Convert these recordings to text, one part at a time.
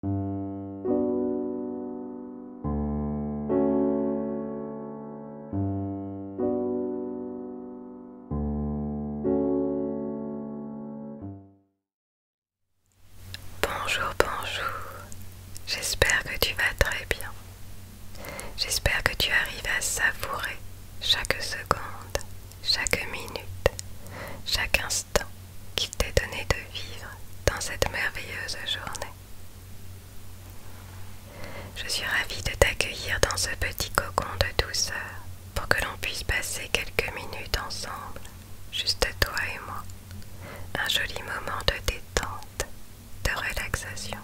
Bonjour, bonjour. J'espère que tu vas très bien. J'espère que tu arrives à savourer chaque seconde, chaque minute, chaque instant qui t'est donné de vivre dans cette merveilleuse journée. Je suis ravie de t'accueillir dans ce petit cocon de douceur pour que l'on puisse passer quelques minutes ensemble, juste toi et moi. Un joli moment de détente, de relaxation,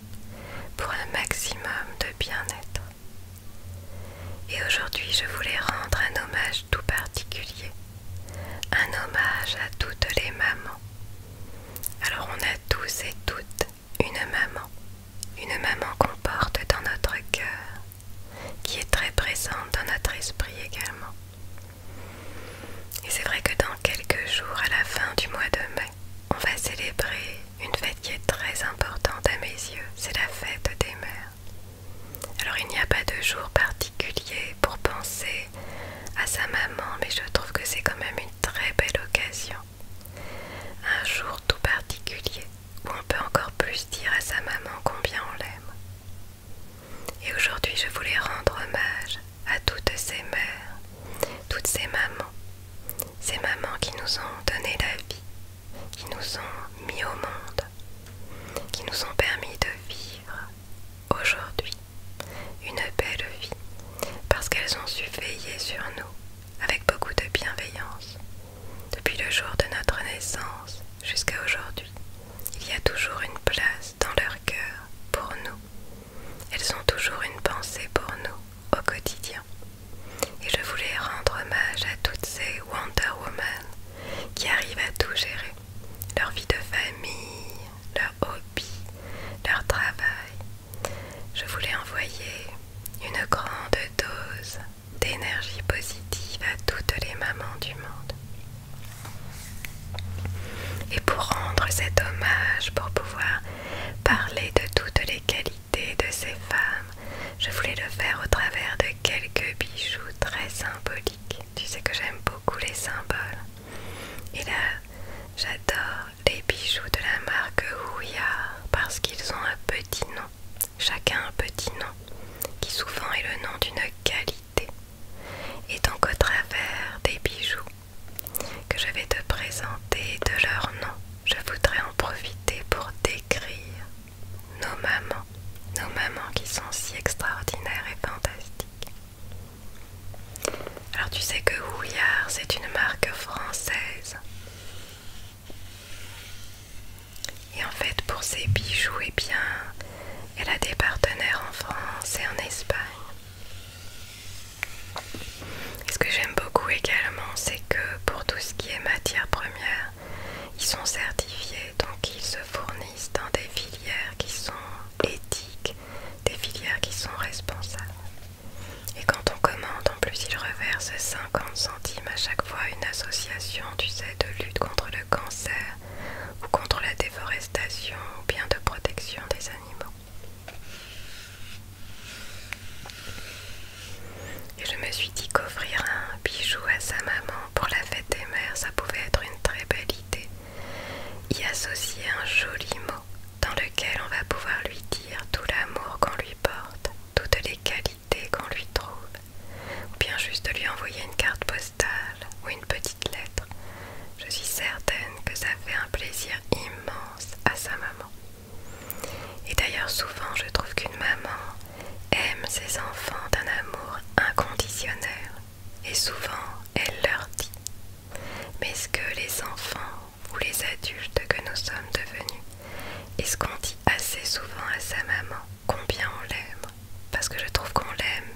pour un maximum de bien-être. Et aujourd'hui, je voulais rendre un hommage tout particulier un hommage à toutes les mamans. Alors on a tous et toutes une maman, une maman qu'on porte dans notre cœur, qui est très présente dans notre esprit également. Et c'est vrai que dans quelques jours, à la fin du mois de mai, on va célébrer une fête qui est très importante à mes yeux, c'est la fête des mères. Alors il n'y a pas de jour particulier pour penser à sa maman, mais je trouve que c'est quand même une très belle occasion. Un jour tout particulier où on peut encore plus dire à sa maman combien on l'aime. Et aujourd'hui je voulais rendre hommage à toutes ces mères, toutes ces mamans, ces mamans qui nous ont donné la vie, qui nous ont mis au monde, qui nous ont permis de vivre aujourd'hui une belle vie parce qu'elles ont su veiller sur nous avec beaucoup de bienveillance. Depuis le jour de notre naissance jusqu'à aujourd'hui, il y a toujours une place dans leur cœur pour nous. Elles ont toujours une pensée pour nous au quotidien. Et je voulais rendre hommage à toutes ces Wonder Woman qui arrivent à tout gérer. Leur vie de famille, leur hobby, leur travail. Je voulais envoyer une grande dose d'énergie positive à toutes les mamans du monde. Et pour rendre cet hommage, pour pouvoir parler de toutes les qualités de ces femmes, je voulais le faire au travers de quelques bijoux très symbolique. Tu sais que j'aime beaucoup les symboles. Et là, j'adore les bijoux de la marque Houillard parce qu'ils ont un petit nom. Chacun un petit nom qui souvent est le nom d'une qualité. Et donc au travers des bijoux que je vais te présenter de leur nom, je voudrais en profiter pour décrire nos mamans, nos mamans qui sont si extraordinaires et fantastiques. Alors tu sais que Ouillard c'est une marque française. Et en fait, pour ses bijoux, et eh bien, elle a des partenaires en France et en Espagne. ce que j'aime beaucoup également, c'est que pour tout ce qui est matière première, ils sont certifiés, donc ils se fournissent dans des filières qui sont éthiques, des filières qui sont responsables. Et quand on commande, en plus, ils reversent 50 centimes à chaque fois à une association, tu sais, de lutte contre le cancer ou contre la déforestation ou bien de protection des animaux. Et je me suis dit qu'offrir un bijou à sa maman pour la fête des mères, ça pouvait être une très belle idée. Y associer un joli mot dans lequel on va pouvoir lui dire tout l'amour qu'on lui porte, toutes les qualités qu'on lui trouve, ou bien juste lui envoyer une carte postale ou une petite lettre. Je suis certaine que ça fait un plaisir immense à sa maman. Et d'ailleurs souvent je trouve qu'une maman aime ses enfants d'un amour inconditionnel et souvent elle leur dit Mais ce que les enfants ou les adultes que nous sommes devenus, est-ce qu'on dit assez souvent à sa maman combien on l'aime Parce que je trouve qu'on l'aime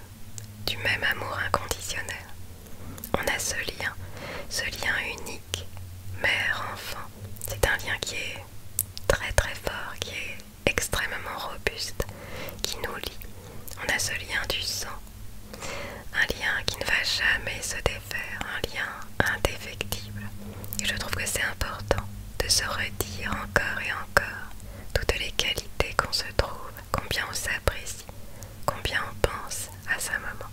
du même amour inconditionnel. On a ce lien, ce lien unique, mère-enfant. C'est un lien qui est très très fort, qui est extrêmement robuste, qui nous lie. On a ce lien du sang, un lien qui ne va jamais se défaire, un lien indéfectible. Et je trouve que c'est important de se redire encore et encore toutes les qualités qu'on se trouve, combien on s'apprécie, combien on pense à sa maman.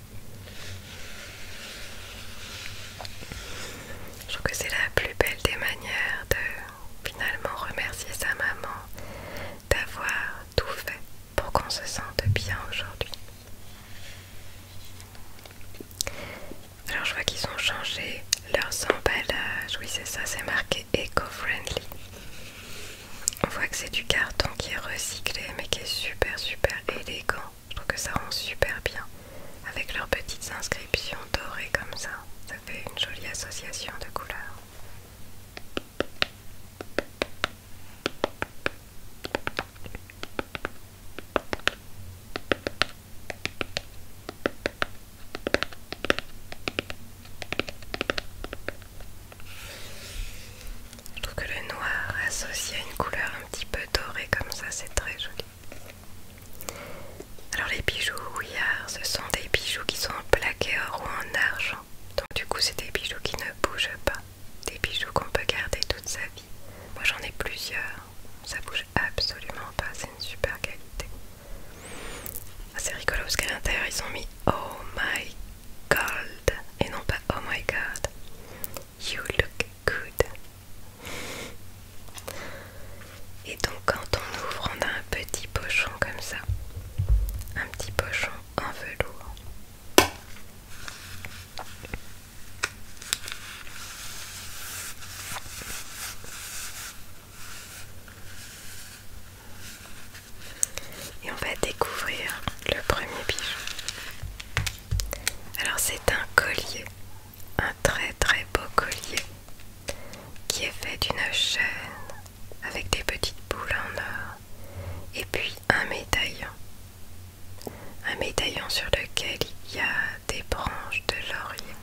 Je trouve que c'est la plus belle des manières de finalement remercier sa maman d'avoir tout fait pour qu'on se sente bien aujourd'hui. Alors je vois qu'ils ont changé leurs emballages. Oui c'est ça, c'est marqué eco-friendly. On voit que c'est du carton qui est recyclé mais qui est super super élégant. Je trouve que ça rend super bien. Avec leurs petites inscriptions dorées comme ça, ça fait une jolie association de couleurs. Je trouve que le noir associé à une couleur un petit peu dorée comme ça, c'est très joli. Alors les bijoux Ouillard, euh, ce sont des bijoux qui sont en plaqué or ou en argent. Donc du coup, c'est des bijoux qui ne bougent pas. Des bijoux qu'on peut garder toute sa vie. Moi j'en ai plusieurs. Ça bouge absolument pas. C'est une super qualité. Ah, c'est rigolo parce qu'à l'intérieur ils ont mis Oh my god et non pas Oh my god. You look coude. Et donc quand on ouvre, on a un petit pochon comme ça. Un petit pochon en velours. Et on va découvrir le premier bijou. Alors c'est un collier un très très beau collier qui est fait d'une chaîne avec des petites boules en or et puis un médaillon. Un médaillon sur lequel il y a des branches de laurier.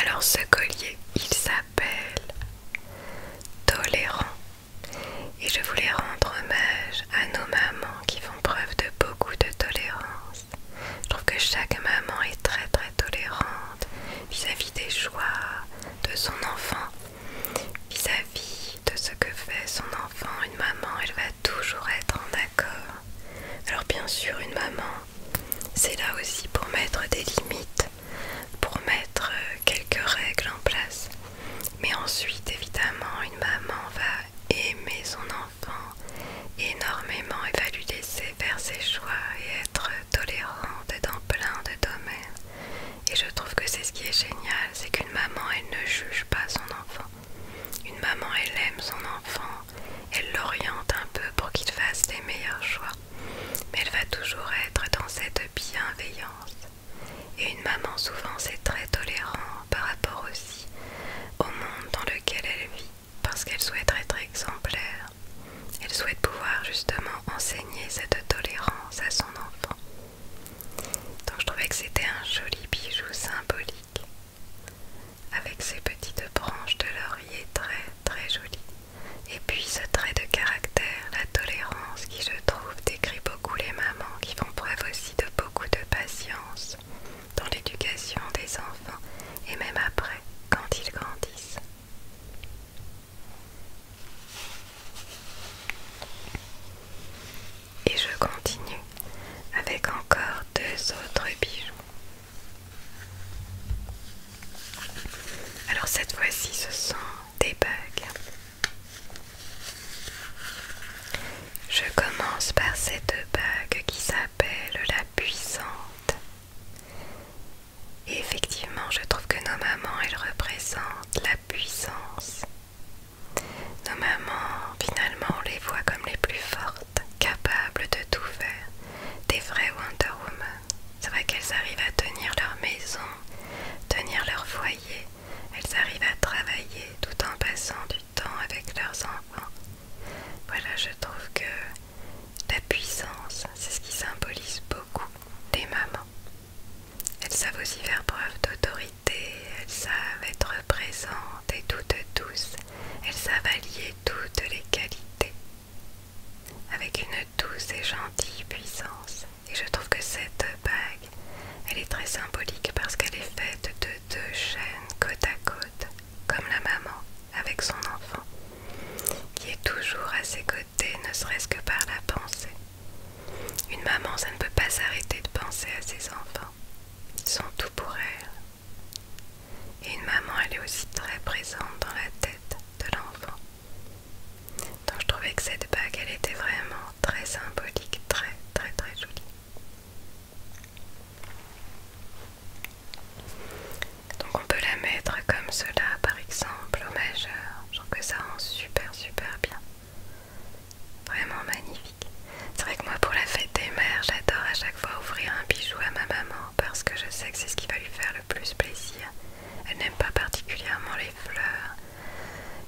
Alors ce collier, il s'appelle Tolérant et je voulais rendre hommage à nos mamans qui font preuve de beaucoup de tolérance. Je trouve que chaque maman est très très tolérante vis-à-vis des choix de son enfant, vis à -vis de ce que fait son enfant. Une maman, elle va toujours être en accord. Alors bien sûr, une maman, c'est là aussi pour mettre des limites, pour mettre quelques règles en place. Mais ensuite, évidemment, une maman va aimer son enfant énormément et va lui laisser faire ses choix et être tolérante dans plein de domaines. Et je trouve que c'est ce qui est génial, c'est qu'une maman, elle ne juge pas son enfant. Une maman, elle aime son enfant, elle l'oriente un peu pour qu'il fasse les meilleurs choix. Mais elle va toujours être dans cette bienveillance. Et une maman souvent c'est très tolérant par rapport aussi au monde dans lequel elle vit, parce qu'elle souhaite être exemplaire. Elle souhaite pouvoir justement enseigner cette tolérance à son enfant. Donc je trouvais que c'était un joli bijou symbolique, avec ses petites branches de laurier très très jolies. Et puis ce trait de caractère, la tolérance qui je trouve décrit les mamans qui font preuve aussi de beaucoup de patience dans l'éducation des enfants et même après, quand ils grandissent. Et je continue avec encore deux autres bijoux. Alors cette fois-ci, ce sont des bugs je commence par cette bague qui s'appelle la puissante. effectivement, je trouve que nos mamans, elles représentent la puissance. Nos mamans, finalement, on les voit comme les plus fortes, capables de tout faire, des vraies Wonder Woman. C'est vrai qu'elles arrivent à tenir leur maison, tenir leur foyer, elles arrivent à travailler tout en passant du temps avec leurs enfants. Voilà, je trouve que la puissance, c'est ce qui symbolise beaucoup des mamans. Elles savent aussi faire preuve d'autorité, elles savent être présentes et toutes douces, elles savent allier toutes les qualités avec une douce et gentille puissance. Et je trouve que cette bague, elle est très symbolique parce qu'elle est faite de deux chaînes côte à côte, comme la maman avec son enfant, qui est toujours à ses côtés, ne serait-ce que par la pensée. Une maman, ça ne peut pas s'arrêter de penser à ses enfants. Ils sont tout pour elle. Et une maman, elle est aussi très présente dans la tête de l'enfant. Donc je trouvais que cette bague, elle était vraiment très symbolique, très très très jolie. Donc on peut la mettre comme cela par exemple au majeur. Je trouve que ça rend super super bien. Vraiment magnifique. C'est vrai que moi pour la fête des mères, j'adore à chaque fois ouvrir un bijou à ma maman parce que je sais que c'est ce qui va lui faire le plus plaisir. Elle n'aime pas particulièrement les fleurs.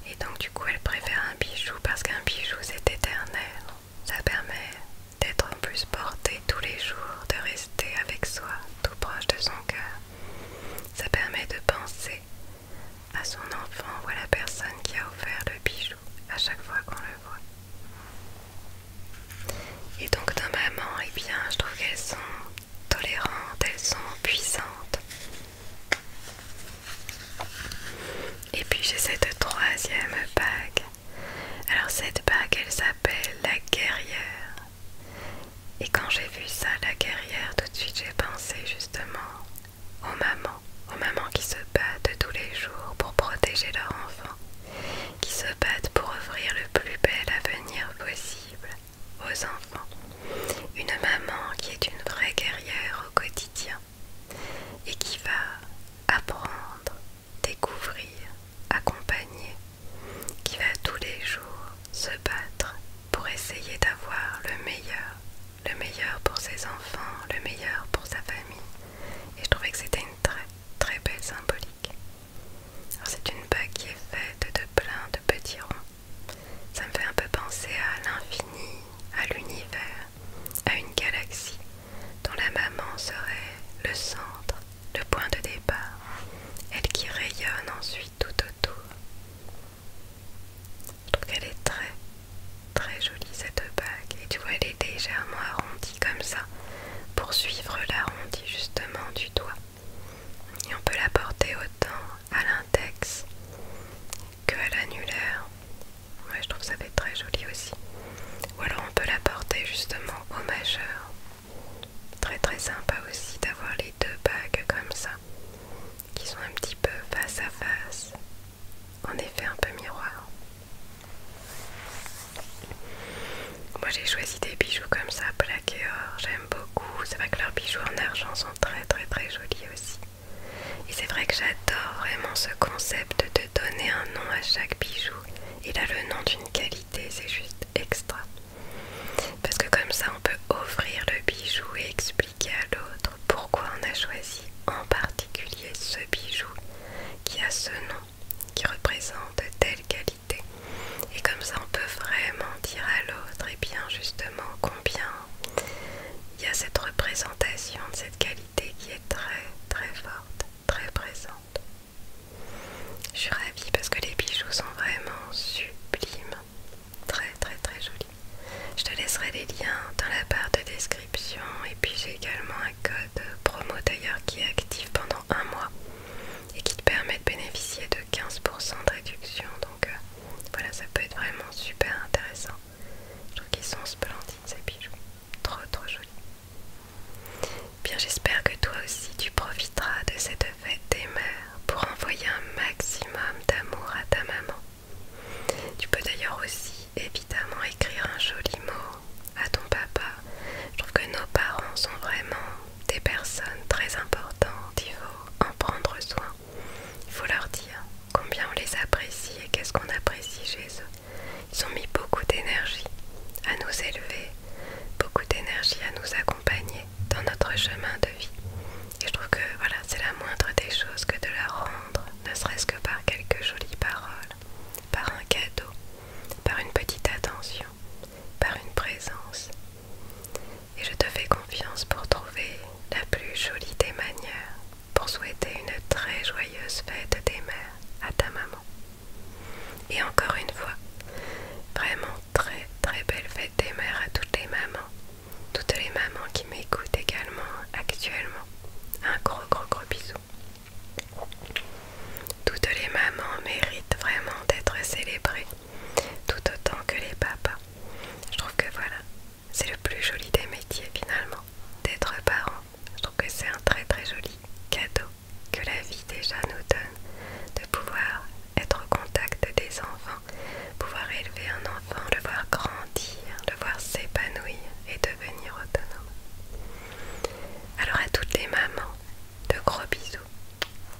Et donc du coup elle préfère un bijou parce qu'un bijou c'est éternel. Ça permet d'être en plus porté tous les jours, de rester avec soi, tout proche de son cœur. Ça permet de penser à son enfant ou à la personne qui a offert le bijou à chaque fois qu'on le voit. Et donc dans maman, et eh bien je trouve qu'elles sont tolérantes, elles sont puissantes. Et puis j'ai cette troisième bague. Alors cette bague, elle s'appelle la guerrière. Et quand j'ai vu ça, la guerrière, tout de suite j'ai pensé justement aux mamans, aux mamans qui se battent tous les jours pour protéger leur enfant qui se battent pour offrir le plus bel avenir possible aux enfants. Une maman qui est une vraie guerrière au quotidien et qui va apprendre, découvrir, accompagner, qui va tous les jours se battre pour essayer d'avoir le meilleur, le meilleur pour ses enfants, le meilleur pour sa famille. Et je trouvais que c'était une très très belle symbolique. c'est une bague qui est faite de plein de petits ronds ça me fait un peu penser à l'infini, à l'univers, à une galaxie dont la maman serait le centre, le point de départ, elle qui rayonne ensuite tout autour. Je trouve qu'elle est très très jolie cette bague et tu vois elle est légèrement arrondie comme ça pour suivre l'arrondi justement du doigt et on peut la porter autant à l'index que à l'annulaire. Moi je trouve ça fait très joli aussi. Ou alors on peut la porter justement au majeur. Très très sympa aussi d'avoir les deux bagues comme ça, qui sont un petit peu face à face. En effet un peu miroir. Moi j'ai choisi des bijoux comme ça, plaqué or, j'aime beaucoup. C'est vrai que leurs bijoux en argent sont très très très jolis aussi. Et c'est vrai que j'adore vraiment ce concept de donner un nom à chaque bijou. Il a le nom d'une qualité, c'est juste extra. Parce que comme ça on peut offrir le bijou et expliquer à l'autre pourquoi on a choisi en particulier ce bijou qui a ce nom, qui représente telle qualité et comme ça, on peut vraiment dire à l'autre, et eh bien justement, combien il y a cette représentation de cette qualité qui est très très forte, très présente. Je suis ravie parce que les bijoux sont vraiment sublimes, très très très jolis. Je te laisserai les liens dans la barre de description et puis j'ai également un code promo d'ailleurs qui est actif pendant un mois et qui te permet de bénéficier de 15% de réduction. Donc euh, voilà, ça peut être vraiment super intéressant. Je trouve qu'ils sont splendides ces bijoux. Trop trop jolis. Bien, j'espère que toi aussi tu profiteras de cette fête des mères pour envoyer un maximum d'amour à ta maman. Tu peux d'ailleurs aussi évidemment écrire un joli mot à ton papa. Je trouve que nos parents sont vraiment des personnes très importantes, il faut en prendre soin. Il faut leur dire combien on les apprécie et qu'est-ce qu'on apprécie chez eux. Ils ont mis beaucoup d'énergie à nous élever, beaucoup d'énergie à nous accompagner dans notre chemin de vie. Et je trouve que voilà, c'est la moindre des choses que de leur rendre, ne serait-ce que par quelques jolies paroles, par un cadeau, par une petite attention, par une présence, et je te fais confiance pour trouver la plus jolie des manières pour souhaiter une très joyeuse fête des mères à ta maman. Et encore une fois, vraiment très très belle fête des mères à toutes les mamans, toutes les mamans qui m'écoutent également actuellement. Un gros gros gros bisou. Toutes les mamans méritent vraiment d'être célébrées tout autant que les papas. Je trouve que voilà, c'est le plus joli des métiers finalement, d'être parent. Je trouve que c'est un très très joli cadeau que la vie déjà nous donne, de pouvoir être au contact des enfants, pouvoir élever un enfant, le voir grandir, le voir s'épanouir et devenir autonome. Alors à toutes les mamans, de gros bisous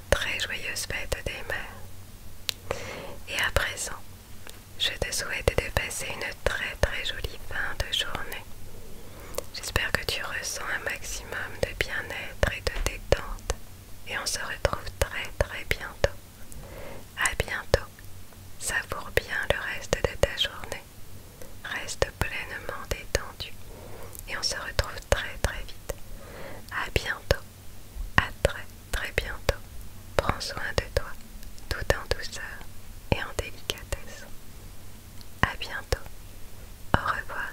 Très joyeuse fête des mères. Et à présent, je te souhaite de passer une très très jolie fin de journée. J'espère que tu ressens un maximum de bien-être et de détente. Et on se retrouve très très bientôt. À bientôt. Savoure bien le reste de ta journée. Reste pleinement détendu. Et on se retrouve très très vite. À bientôt. À très très bientôt. Prends soin de toi, tout en douceur et en délicatesse. À bientôt. Au revoir.